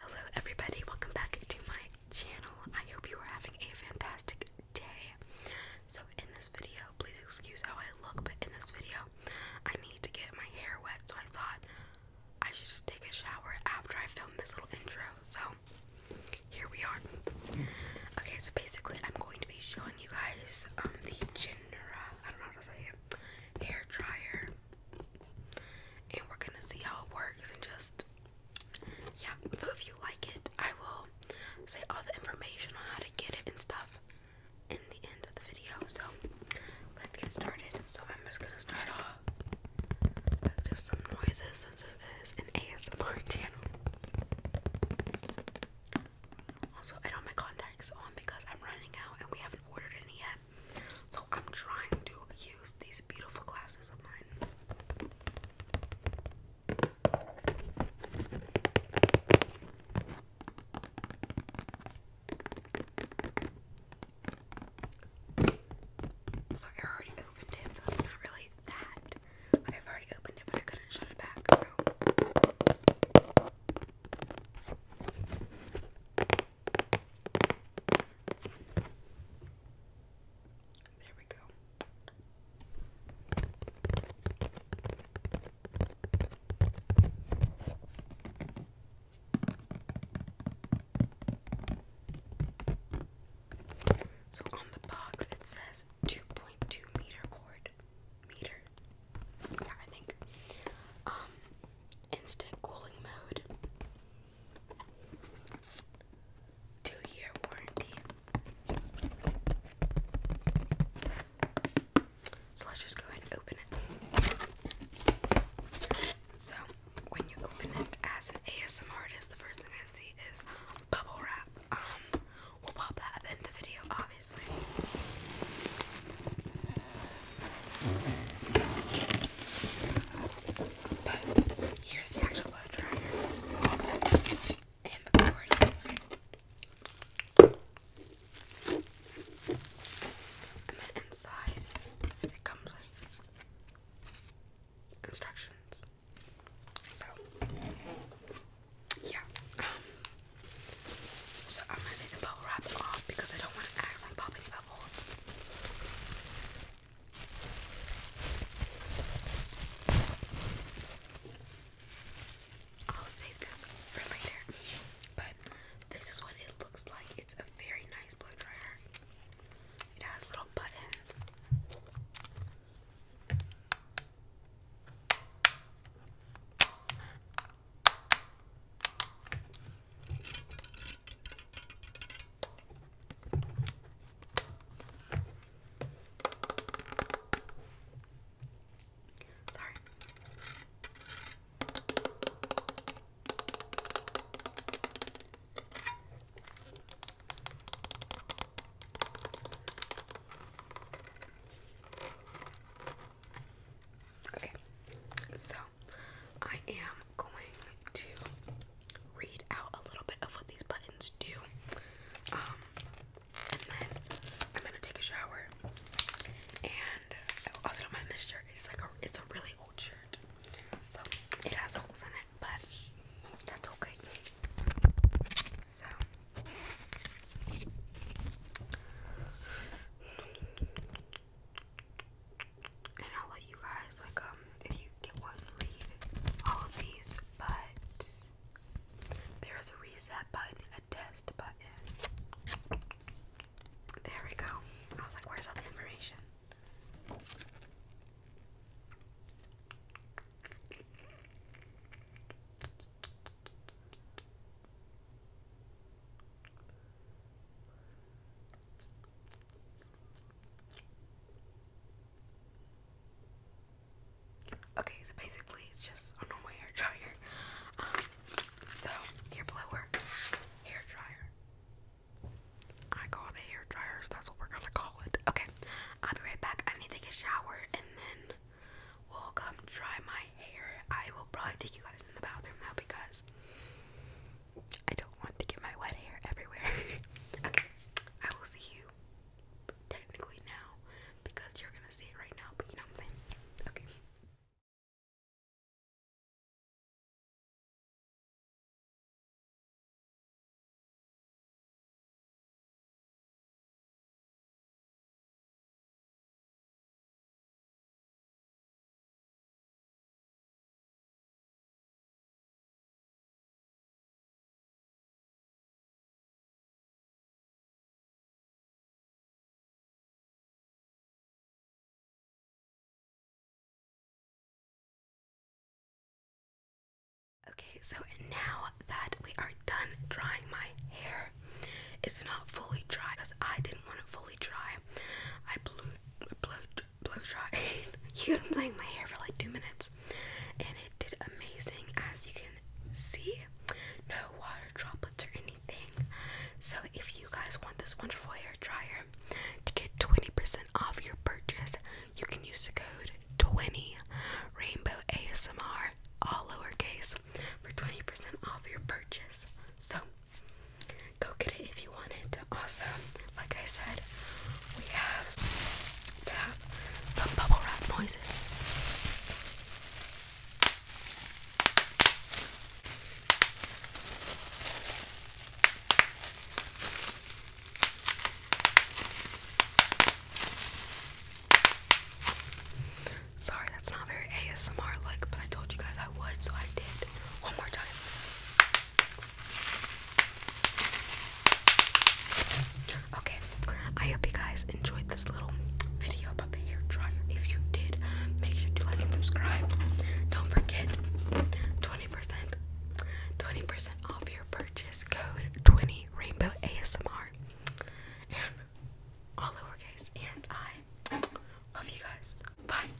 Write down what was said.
Hello everybody, welcome back to my channel. I hope you are having a fantastic day. So in this video, please excuse how I look, but in this video, I need to get my hair wet, so I thought I should just take a shower after I film this little intro. So here we are. Okay, so basically I'm going to be showing you guys um, the Genera, hair dryer and we're gonna see how it works and just yeah so if you like it i will say all the information on how to get it and stuff in the end of the video so let's get started so i'm just gonna start off with some noises since it is an asmr channel also i don't have my on because i'm running out and we haven't ordered any yet so I'm trying to use these beautiful glasses of mine. So I already opened it, so it's not really that. Like I've already opened it, but I couldn't shut it back, there we go. So on the box it says 2.2 meter cord. Meter. Yeah, I think. Um instant cooling mode two-year warranty. So let's just go ahead and open it. So when you open it as an ASM artist, the first thing I see is bubble wrap. Um, we'll pop that at the end of the video, obviously. But here's the actual blow dryer and the cord. And then inside, it comes with instructions. So, yeah. Um, so I'm gonna take the bubble wrap off because I don't want to accidentally popping bubbles. I'll save this for later, but this is what it looks like. It's a very nice blow dryer. It has little buttons. Sorry. Okay, so I am going to read out a little bit of what these buttons do. Um, and then I'm gonna take a shower. And I also don't mind this shirt. It's like a it's a really old shirt. So it has holes in it, but that's okay. So and I'll let you guys like um if you get one read all of these, but there is a reset button, a test button. There we go. I was like, where's all the information? Okay, so basically it's just a normal hair dryer. Um, so hair blower, hair dryer. I call it hair dryer, that's what we're gonna call it. Okay, I'll be right back. I need to take shower and then we'll come dry my hair. I will probably take you guys in the bathroom now because I don't want to get my wet hair everywhere. okay, I will see you technically now because you're gonna see it right now, but you know what I'm saying. Okay. Okay, so now that we are done drying my hair, it's not fully dry because I didn't want it fully dry. I blew, blew blow dry. you have been playing my hair for like two minutes, and it did amazing. As you can see, no water droplets or anything. So if you guys want this wonderful hair dryer to get 20% off your purchase, you can use the code 20 Rainbow ASMR all lowercase for 20% off your purchase. So Go get it if you want it. Also, like I said, we have have some bubble wrap noises. Sorry, that's not very ASMR like, but I told you guys I would, so I did. One more time. Okay, I hope you guys enjoyed this little video about the hair dryer. If you did, make sure to like and subscribe. Don't forget 20%, 20% off your purchase code 20 Rainbow ASMR. And all lowercase. And I love you guys. Bye.